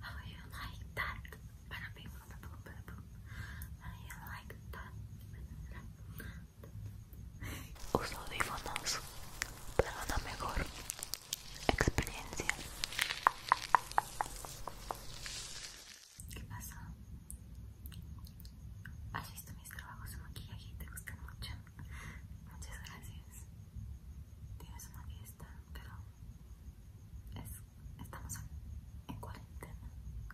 How do you like that? Uso audífonos pero una mejor experiencia. ¿Qué pasa? ¿Has visto mis trabajos de maquillaje y te gustan mucho? Muchas gracias. Tienes una fiesta, pero estamos en, cuarentena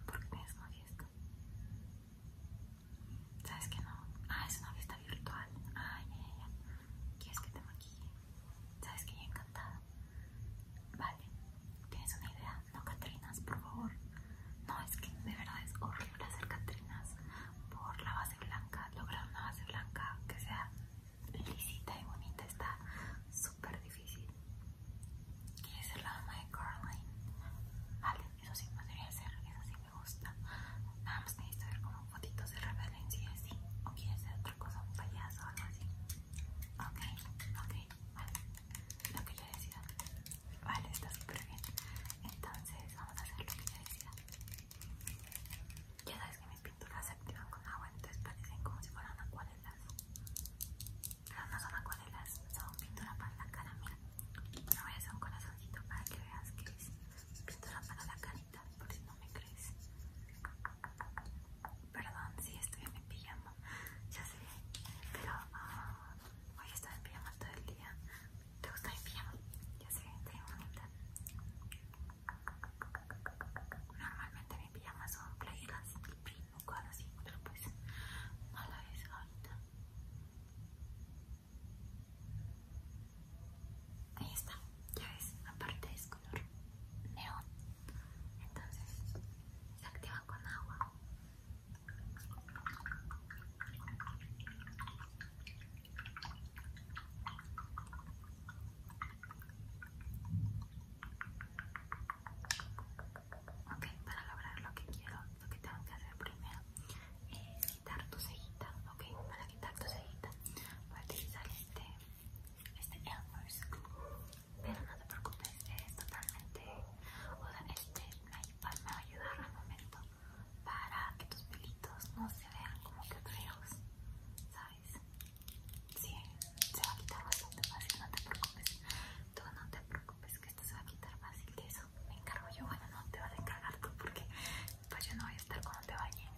porque tienes una fiesta. ¿Sabes que no? Ah, es una fiesta virtual. Ay, ah, ¿Quieres que te maquille? ¿Sabes que yo encantada? Vale, ¿tienes una idea? No, Catrinas, por favor. No, es que de verdad es horrible hacer Catrinas por la base blanca, lograr una base blanca que sea lisita y bonita está súper difícil. Quiere ser la mamá de Caroline. Vale, eso sí podría ser, eso sí me gusta. Nada más necesito ver como fotitos de referencia así. O quiere ser otra cosa, un payaso o algo así. Ok, ok, vale. Lo que yo decía. Vale, está súper bien. Entonces vamos a hacer lo que yo decía. Ya sabes que me mis pinturas se activan con agua, entonces parecen como si fueran acuarelas. Pero no son acuarelas, son pintura para la cara, mira. Me voy a hacer un corazoncito para que veas que es pintura para la carita, por si no me crees. Perdón si estoy en pijama, ya sé, pero hoy ah, estoy en pijama todo el día. ¿Te gusta mi pijama? Ya sé, estoy bonita. Normalmente mis pijamas son playas, y primo, cuadro, así, pero pues no lo vez ahorita. Ahí está, ya ves, aparte es color neón, entonces se activa con agua. Ok, para lograr lo que quiero, lo que tengo que hacer primero es quitar tu cejita. Ok, para quitar tu cejita voy a utilizar este, este Elmer's Pero no te preocupes, es totalmente, o sea, este me va a ayudar al momento para que tus pelitos no se vean como que fríos ¿sabes? Sí, se va a quitar bastante fácil, no te preocupes. Tú no te preocupes que esto se va a quitar fácil de eso. Me encargo yo, bueno, no te vas a encargar tú porque pues yo no voy a estar cuando te bañes.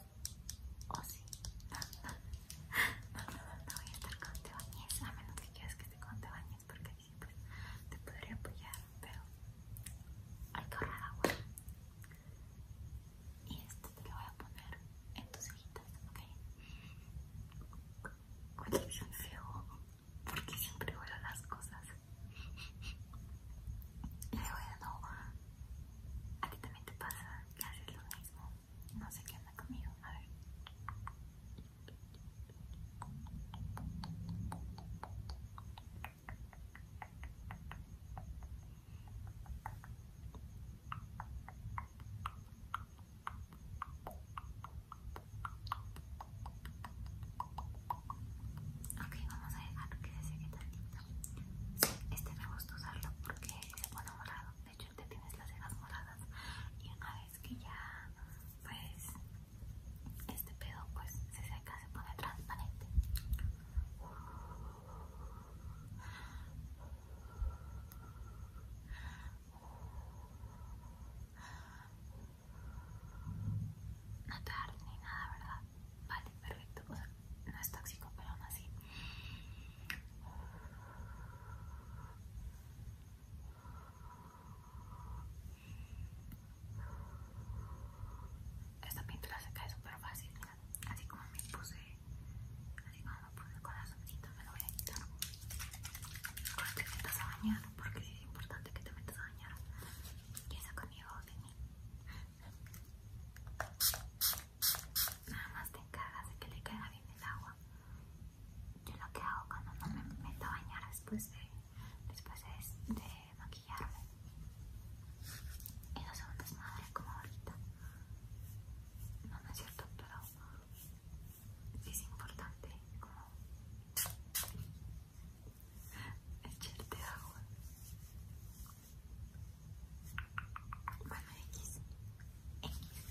¿O si, sí? No, no, no, voy a estar cuando te bañes, a menos que quieras que esté cuando te bañes porque siempre pues te podría apoyar, pero hay que ahorrar agua. Y este te lo voy a poner en tus hijitas, ¿ok? Huele bien feo porque siempre vuelan las cosas. le voy a ti también te pasa que lo mismo. No sé qué anda conmigo, a ver. Ok, vamos a dejar que se seque Este me gusta usarlo porque se pone morado. De hecho, te este tienes las cejas moradas. Y una vez que ya, pues, este pedo pues se seca, se pone transparente. No tarde ni nada, ¿verdad? Vale, perfecto. no es tóxico, pero aún así. Esta pintura se cae súper fácil, mira. Así como me puse, así como me puse el corazoncito, me lo voy a quitar. Cuando te metas a bañar, porque es importante que te metas a bañar. Y eso conmigo, mí Nada más te encargas de que le caiga bien el agua. Yo lo que hago cuando no me meto a bañar después de, después de este maquillarme. Y no son a desmadre como ahorita. No, no es cierto, pero es importante como echarte agua. Bueno, X. X.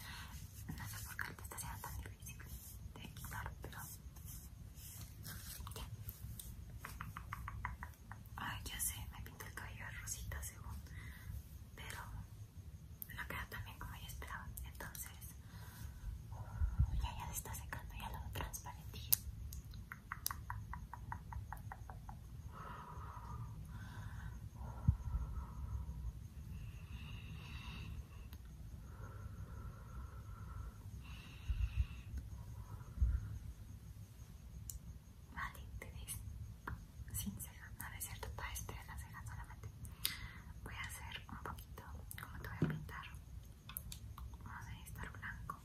No sé por qué te está siendo tan difícil de quitar, pero Ay, ya sé, me pinté el cabello rosita según, pero no queda tan bien como yo esperaba. Entonces, uh, ya ya se está secando, ya lo transparentillo. Vale, te sin ceja, no, es cierto, está estoy en la solamente. Voy a hacer un poquito, como te voy a pintar. Vamos a estar blanco.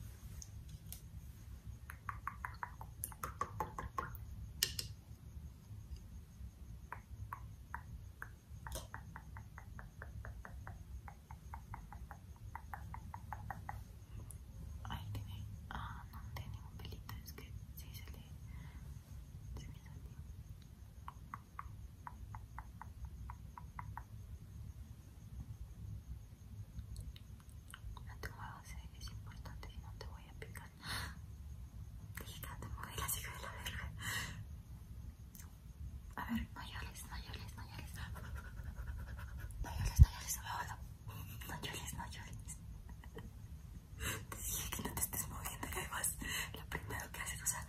Ahí tiene. Ah, no tiene ningún pelito. Es que sí se le. Se me salió. No te muevas, es importante. Si no te voy a picar. Delicada, te a la hija de la verga. A ver, No mayores, no mayores, no llores, no llores Te dije que no te estés moviendo y ahí vas. Lo primero que haces, o sea,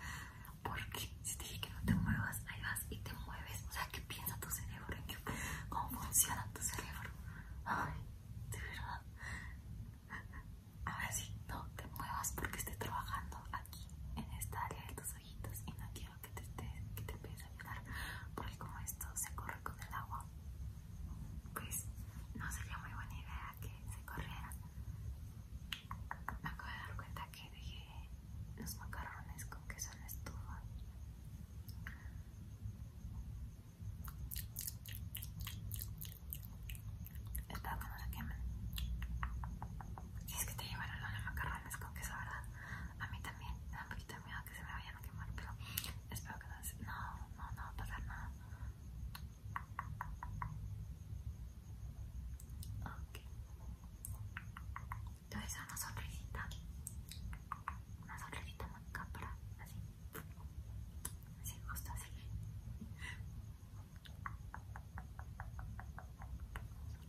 porque si te dije que no te muevas, ahí vas y te mueves. O sea, ¿qué piensa tu cerebro? ¿En ¿Cómo funciona tu cerebro? Ay, de verdad. A ver si no te muevas porque estoy trabajando aquí en esta área de tu y no quiero que te, esté que te empieces a llorar porque como esto se corre con el agua pues no sería muy buena idea que se corriera me acabo de dar cuenta que dejé los macarrones con queso en estufa Espero que no se quemen. Si es que te llevaron los macarrones con queso, ¿verdad? A mí también. Me da un poquito de miedo que se me vayan a quemar, pero espero que no se... No, no, no va pasar nada. Ok. Te voy a hacer una sonrisita. Una sonrisita Así. Así, justo así.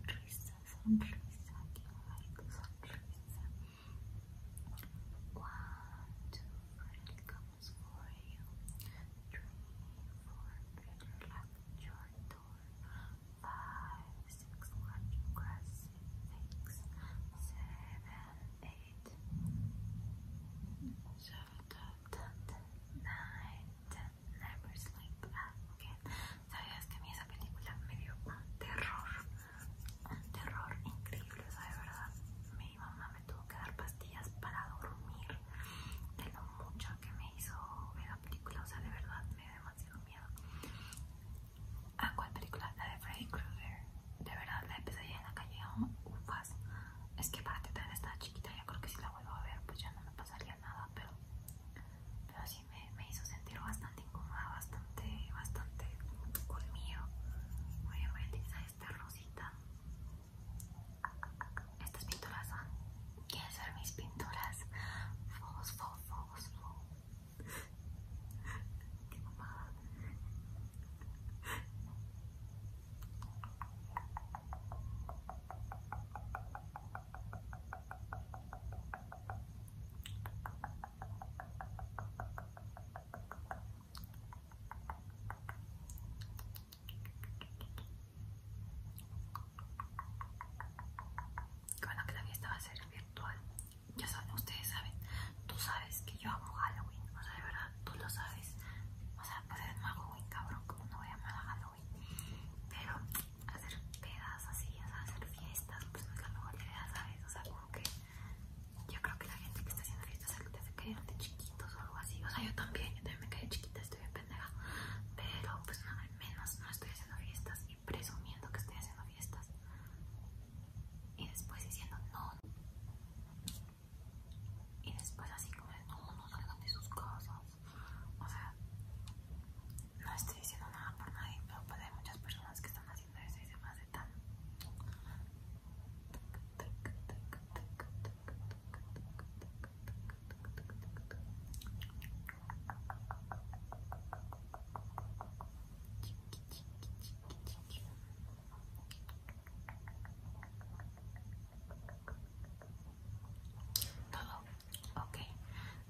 Teresa, you comes for you. Three, four, better your door. Five, six, one, grass, six, seven, eight. So, dot, dot, nine, ten. Ah, Sabías que a mí esa película me dio un terror, un terror increíble, o sea, de verdad. Mi mamá me tuvo que dar pastillas para dormir de lo mucho que me hizo ver la película, o sea, de verdad me dio demasiado miedo. ¿A cuál película? La de Freddy Krueger. De verdad, la empecé en la calle, Es que para ti estaba chiquita, ya creo que si la vuelvo a ver, pues ya no me pasaría nada, pero, pero sí me, hizo sentir bastante incómoda, bastante, bastante conmigo. Muy voy a utilizar esta rosita. Estas pinturas son, quieren ser mis pinturas. Fogos, fogos, fogos, Qué que bueno que la fiesta va a ser virtual. Ya saben, ustedes saben, tú sabes que yo hago Halloween, o sea, de verdad, tú lo sabes. O sea, hacer me hago cabrón, como no voy a llamar Halloween. Pero hacer pedas así, hacer fiestas, pues no es la mejor idea, ¿sabes? O sea, como que yo creo que la gente que está haciendo fiestas se quedan de chiquitos o algo así. O sea, yo también, yo también me quedé chiquita, estoy bien pendeja. Pero pues nada, al menos no estoy haciendo fiestas y presumiendo que estoy haciendo fiestas. Y después diciendo no y después así como no, no salgan de sus cosas O sea, no estoy diciendo nada por nadie, pero pues hay muchas personas que están haciendo eso y se de tan... Todo ok,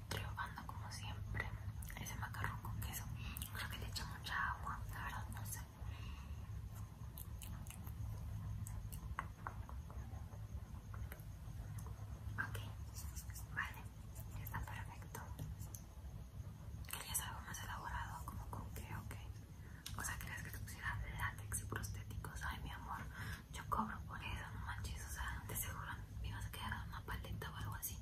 triunfando como siempre. Ese macarrón con queso, creo que le echa mucha agua, la verdad, no sé. Ok, vale, está perfecto. ¿Querías algo más elaborado? Como con qué, ok. O sea, ¿crees que te pusieras látex y prostéticos? Ay, mi amor, yo cobro por eso, no manches. O sea, te seguro me vas a quedar una paleta o algo así.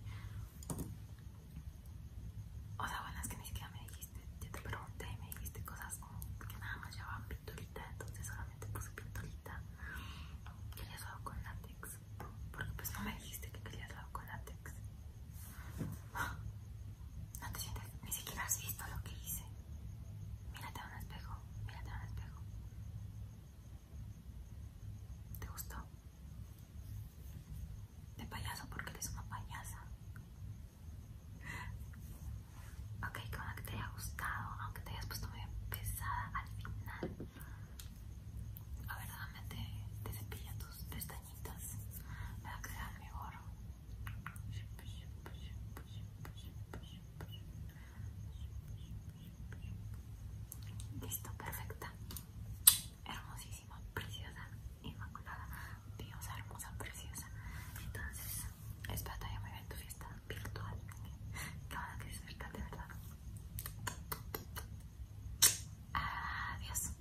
O sea, bueno, es que ni siquiera me dijiste. ya te pregunté y me dijiste cosas como que nada más llevaban pinturita, entonces solamente puse pintolita. Querías algo con látex. Porque pues no me dijiste que querías algo con látex. No te sientes... ni siquiera has visto lo que hice. Mírate a un espejo, mírate a un espejo. ¿Te gustó? te payaso porque eres una payasa. Ok, que buena que te haya gustado, aunque te hayas puesto muy pesada al final. A ver, dame te, te tus pestañitas para que mi mejor. Listo, perfecta, hermosísima, preciosa, inmaculada, diosa hermosa, preciosa. Entonces, espero te haya a bien tu fiesta virtual. Que van a disfrutar de verdad. Adiós.